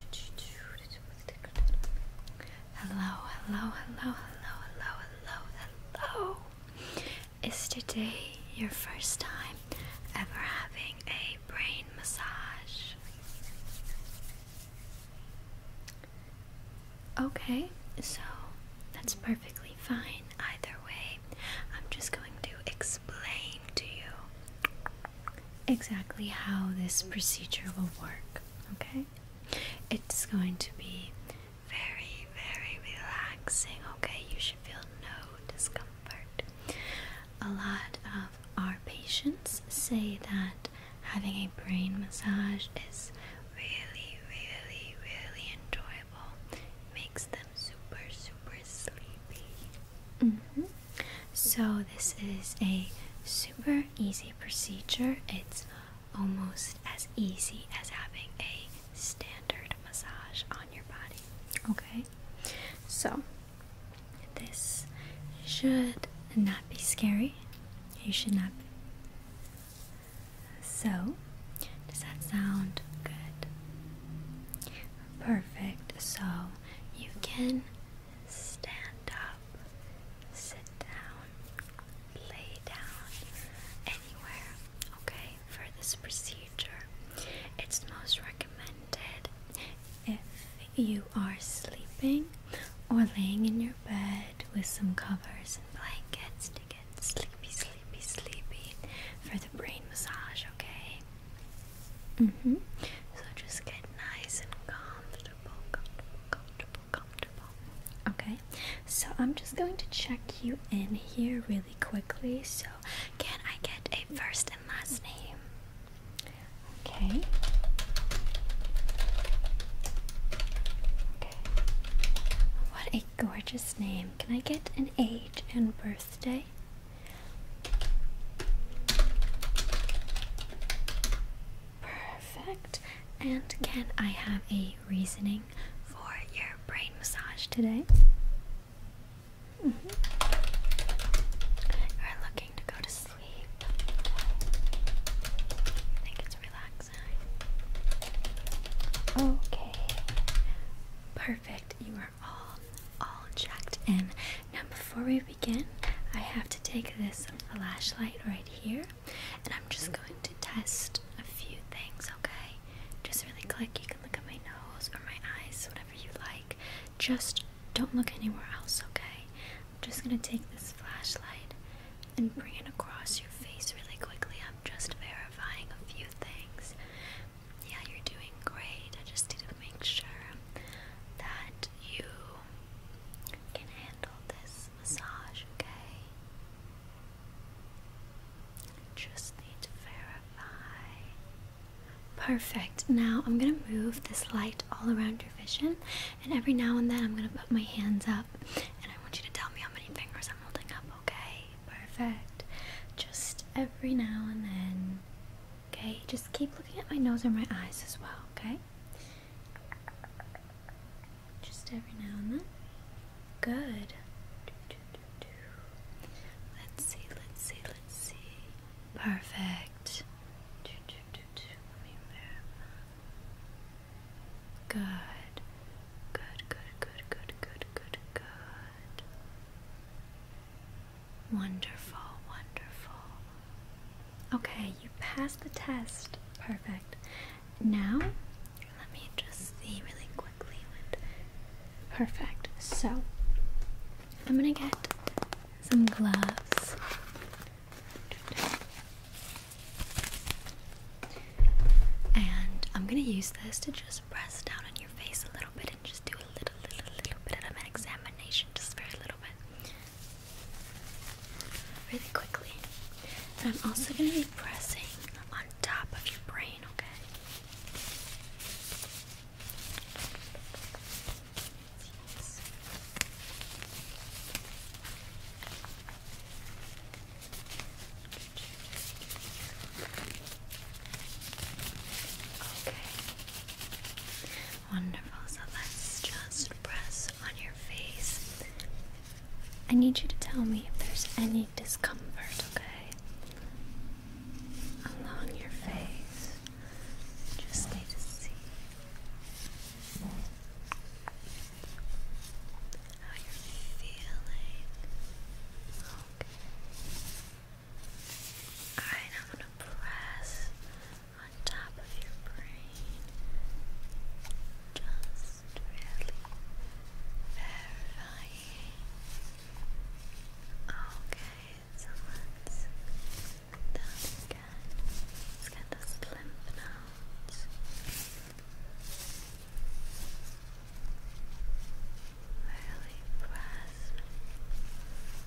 Hello, hello, hello, hello, hello, hello, hello. Is today your first time ever having a brain massage? Okay, so that's perfectly fine either way. I'm just going to explain to you exactly how this procedure will work, okay? It's going to be very, very relaxing, okay? You should feel no discomfort. A lot of our patients say that having a brain massage is really, really, really enjoyable. makes them super, super sleepy. Mm-hmm. So, this is a super easy procedure. It's almost as easy as having a standard massage on your body. Okay? So, this should not be scary. You should not. Be. So, does that sound good? Perfect. So, you can stand up, sit down, lay down, anywhere, okay, for this procedure. It's most recommended if you are sleeping or laying in your bed with some covers and blankets to get sleepy, sleepy, sleepy for the brain massage, okay? -hmm. So just get nice and comfortable. Okay, so I'm just going to check you in here really quickly. So, can I get a first and last name? Okay. Okay. What a gorgeous name. Can I get an age and birthday? Perfect. And can I have a reasoning for your brain massage today? Mm-hmm. You're looking to go to sleep. I think it's relaxing. Okay. Perfect. You are all all checked in. Now before we begin, I have to take this flashlight right here and I'm just going to test a few things, okay? Just really click. you can look at my nose or my eyes, whatever you like. Just don't look anywhere else, okay? I'm just gonna take this flashlight and bring it across your face really quickly. I'm just verifying a few things. Yeah, you're doing great. I just need to make sure that you can handle this massage, okay? Just need to verify. Perfect. Now I'm going to move this light all around your vision, and every now and then I'm going to put my hands up, and I want you to tell me how many fingers I'm holding up, okay? Perfect. Just every now and then. Okay, just keep looking at my nose and my eyes as well, okay? Just every now and then. Good. Let's see, let's see, let's see. Perfect. Good. Good, good, good, good, good, good, good. Wonderful, wonderful. Okay, you passed the test. Perfect. Now, let me just see really quickly. Perfect. So, I'm gonna get some gloves. And I'm gonna use this to just press down on your face a little bit and just do a little, little, little bit of an examination, just very little bit really quickly. I'm also going to be pressing on top of your brain, okay? Yes. Okay. Wonderful. So let's just press on your face. I need you to tell me if there's any discomfort, okay? Along your face. Just need to see how you're feeling. Okay. Alright, I'm gonna press on top of your brain. Just really verifying. Okay, so done again. Let's get the Really press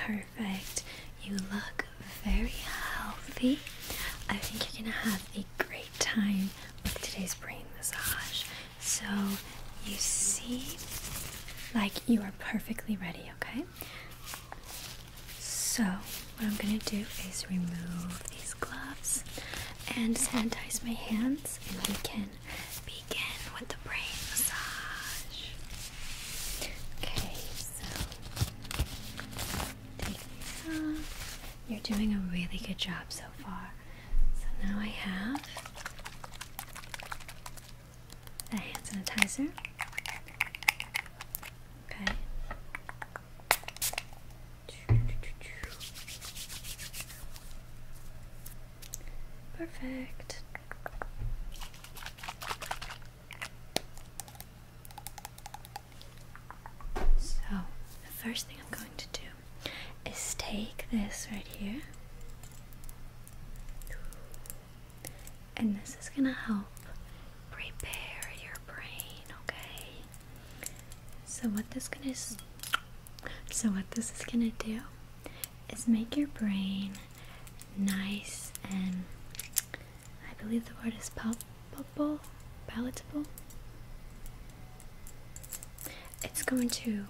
Perfect. You look very healthy. I think you're gonna have a great time with today's brain massage. So you seem like you are perfectly ready, okay? So, what I'm gonna do is remove these gloves and sanitize my hands, and we can begin with the brain massage. Okay, so take it off. You're doing a really good job so far. So now I have the hand sanitizer. Okay. Perfect. So, the first thing I'm going to do is take this right here, and this is going to help repair your brain, okay? So, what this is going to so, what this is going to do is make your brain nice and I believe the word is palpable, palatable. It's going to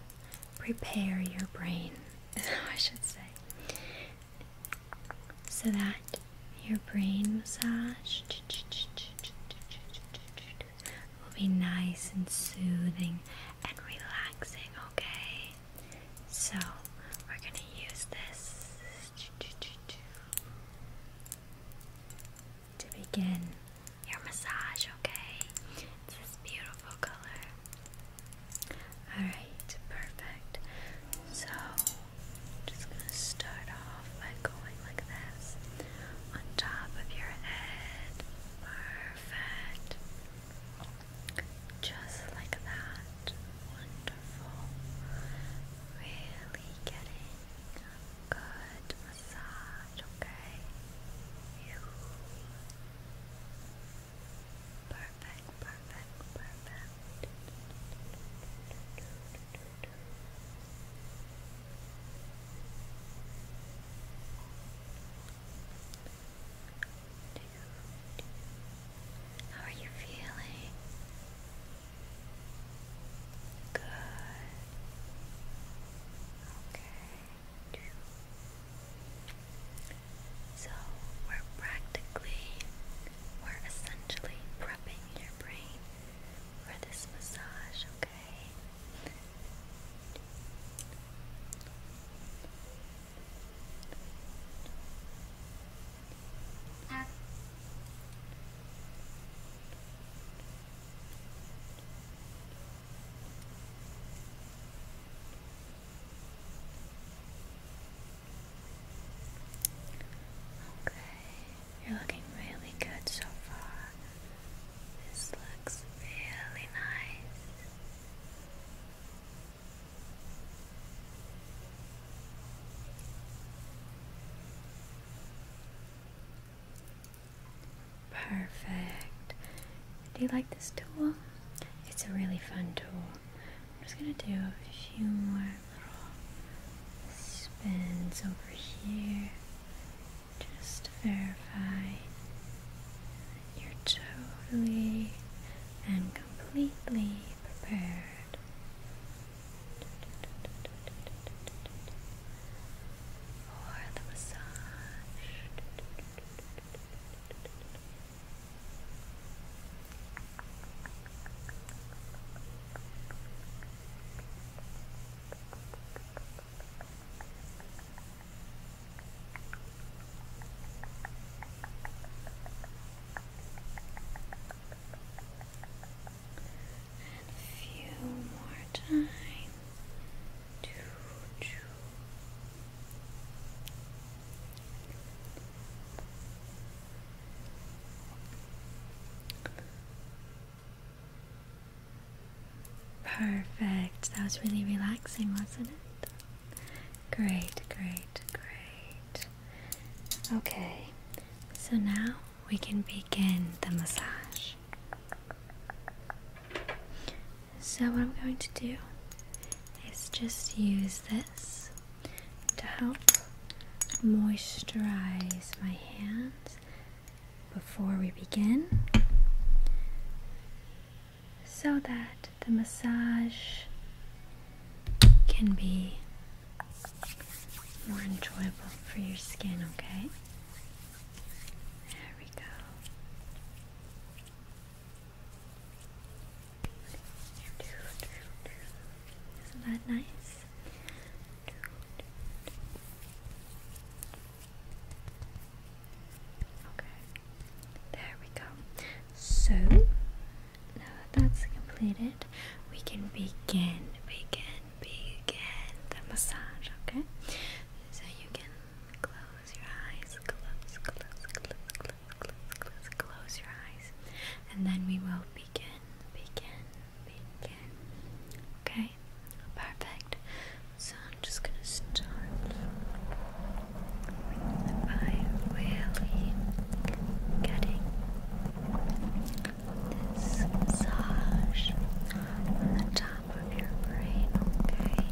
prepare your brain, I should say, so that your brain massage will be nice and soothing and relaxing, okay? So, we're going to use this to begin your massage, okay? this beautiful color. Alright, perfect. So, I'm just going to start off by going like this on top of your head. Perfect. Just like that. Wonderful. Really getting a good massage, okay? You. Perfect, perfect, perfect. How are you feeling? Good. Okay. So we're practically, we're essentially prepping your brain for this massage, okay? Okay, you're looking really good so far. This looks really nice. Perfect. Do you like this tool? It's a really fun tool. I'm just gonna do a few more little spins over here just to verify you're totally and completely prepared. For the massage. And a few more times. Perfect. That was really relaxing, wasn't it? Great, great, great. Okay, so now we can begin the massage. So, what I'm going to do is just use this to help moisturize my hands before we begin so that the massage can be more enjoyable for your skin, okay? There we go. Isn't that nice? Okay, there we go. So now that that's completed, we can begin, begin, begin the massage. Okay, so you can close your eyes, close, close, close, close, close, close, close your eyes, and then we will begin, begin, begin Okay, perfect. So I'm just gonna start by really getting this massage on the top of your brain, okay?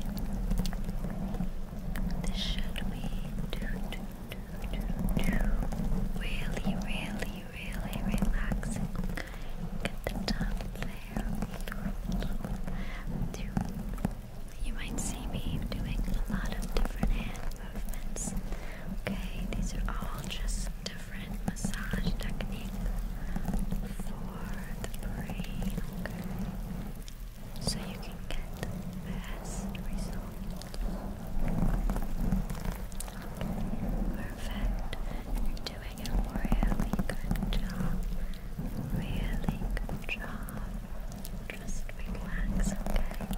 This should be really, really, really relaxing, Get the top there. You might see me doing a lot of different hand movements. Okay, these are all just different massage techniques for the brain. so you can get the best result perfect. you doing a really good job. Really good job. Just relax, Relax, relax,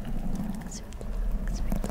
relax. Relax, relax. Relax,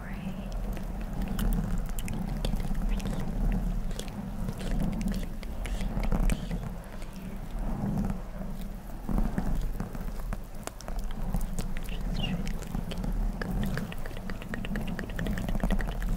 brain. Get it clean, clean, clean, clean, clean. Just really good, good, good, good, good, good, good, good, good, good.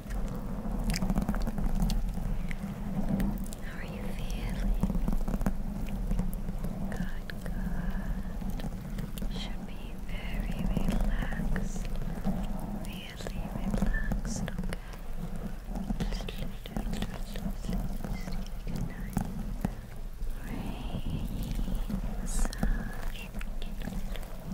How are you feeling? Good, good. Should be very relaxed. Really relaxed, okay? Good night. Rain,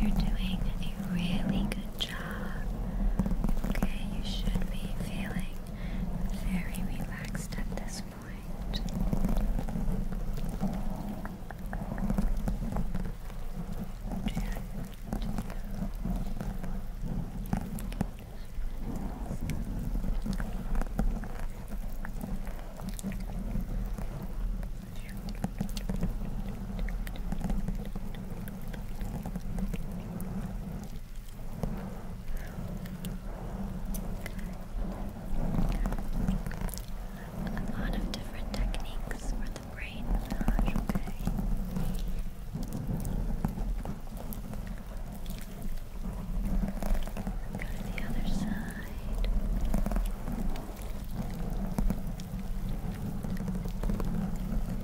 You're doing a really good job. Okay, you should be feeling very relaxed at this point. A lot of different techniques for the brain massage, okay? Go to the other side.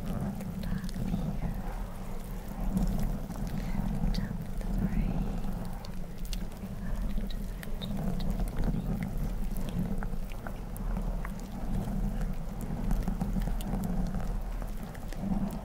Lock me up. Jump the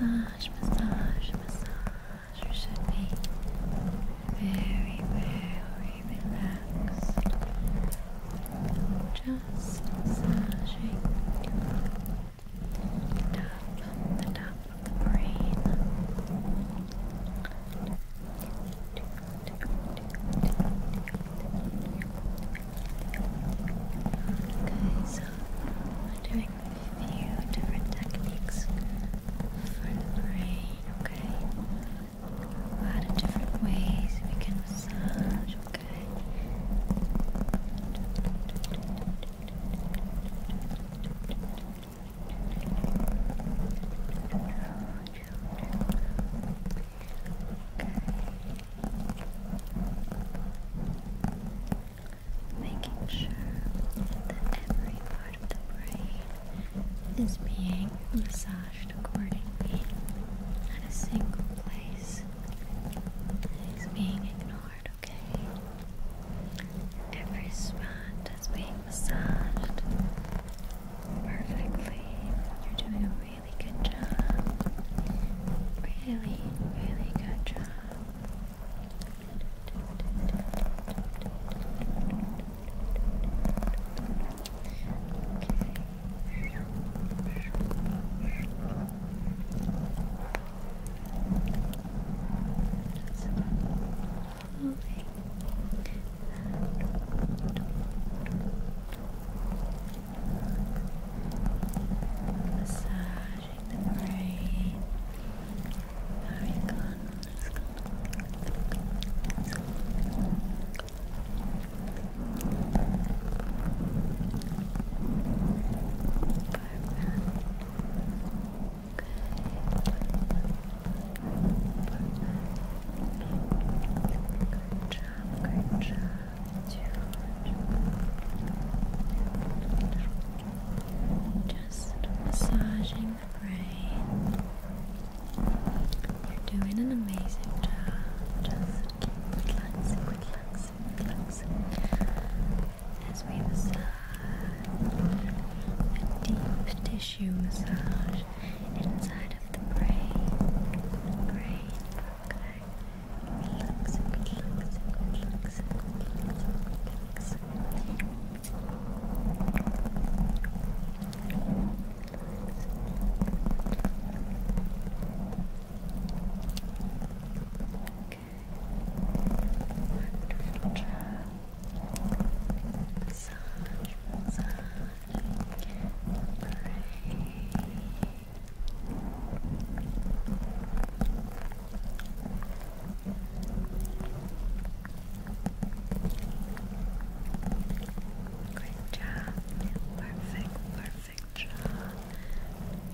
Massage, massage, massage. You should be very, very relaxed. Just massaging the top of the top of the brain. Okay, so we're doing a few different techniques for the brain, okay? A lot of different ways we can massage, okay? Making sure that every part of the brain is being massaged accordingly at a single place. It's being ignored, okay? Every spot is being massaged perfectly. You're doing a really good job. Really, really good job. Okay. Massaging the brain. Very good. Good job, good job. Just massaging the brain. You're doing an amazing job. Just relaxing, relaxing, relaxing. As we massage a deep tissue massage inside of the brain. Brain, Relax, relax, relax, relax, Wonderful job. Massage, massage, break, break, Great job. Perfect, perfect job.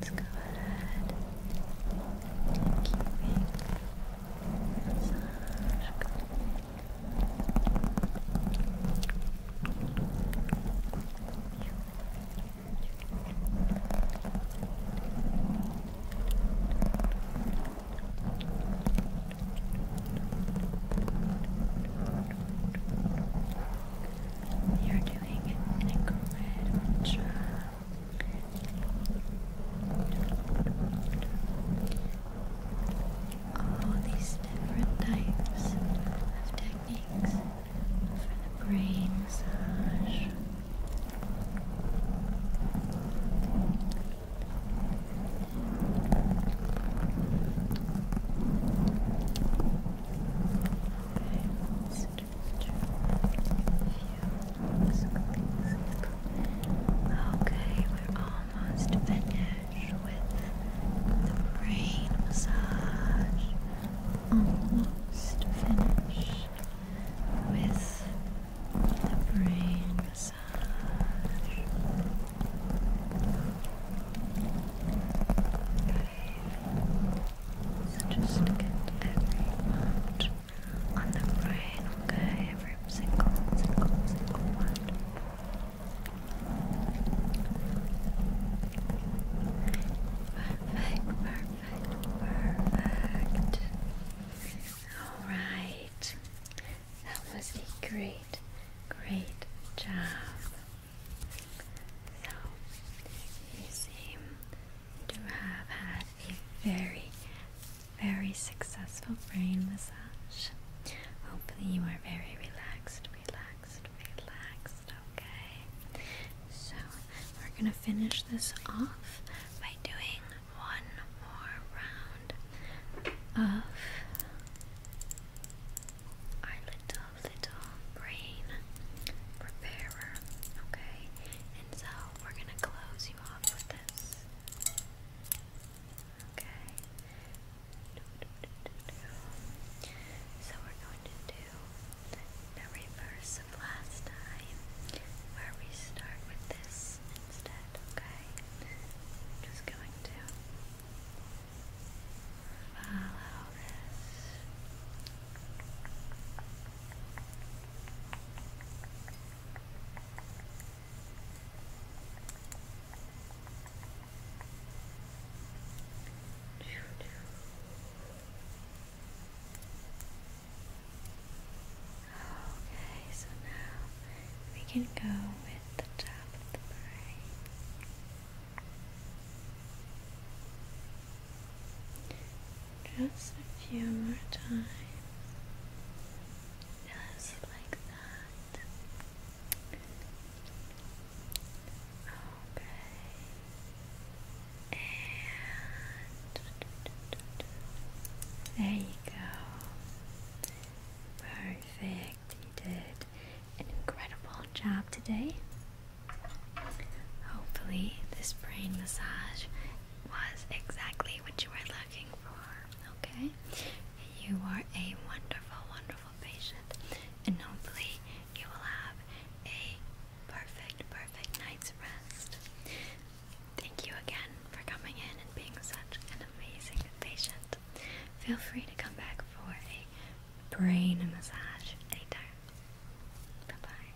Let's go ahead you're doing an incredible job. All these different types of Thanks for the brain massage. Okay, so just a few circles. Okay, we're almost finished with the brain massage almost finished with the brain massage. So just get every amount on the brain, okay? Every single, single, single one. Perfect, perfect, perfect. Alright. That was a great, great job. So, you seem to have had a very, very successful brain massage. Hopefully, you are very relaxed, relaxed relaxed, okay? So, we're gonna finish this off by doing one more round of our little, little brain preparer, okay? And so, we're gonna close you off with this, okay? So we're going to do the reverse of last time, where we start with this instead, okay? I'm just going to follow Okay, so now we can go with the top of Just a few more times. Just like that. Okay. And there you go. Perfect. You did an incredible job today. Hopefully, this brain massage was exactly what you were looking for. Okay? You are a wonderful, wonderful patient, and hopefully, you will have a perfect, perfect night's rest. Thank you again for coming in and being such an amazing patient. Feel free to come back for a brain massage later. Bye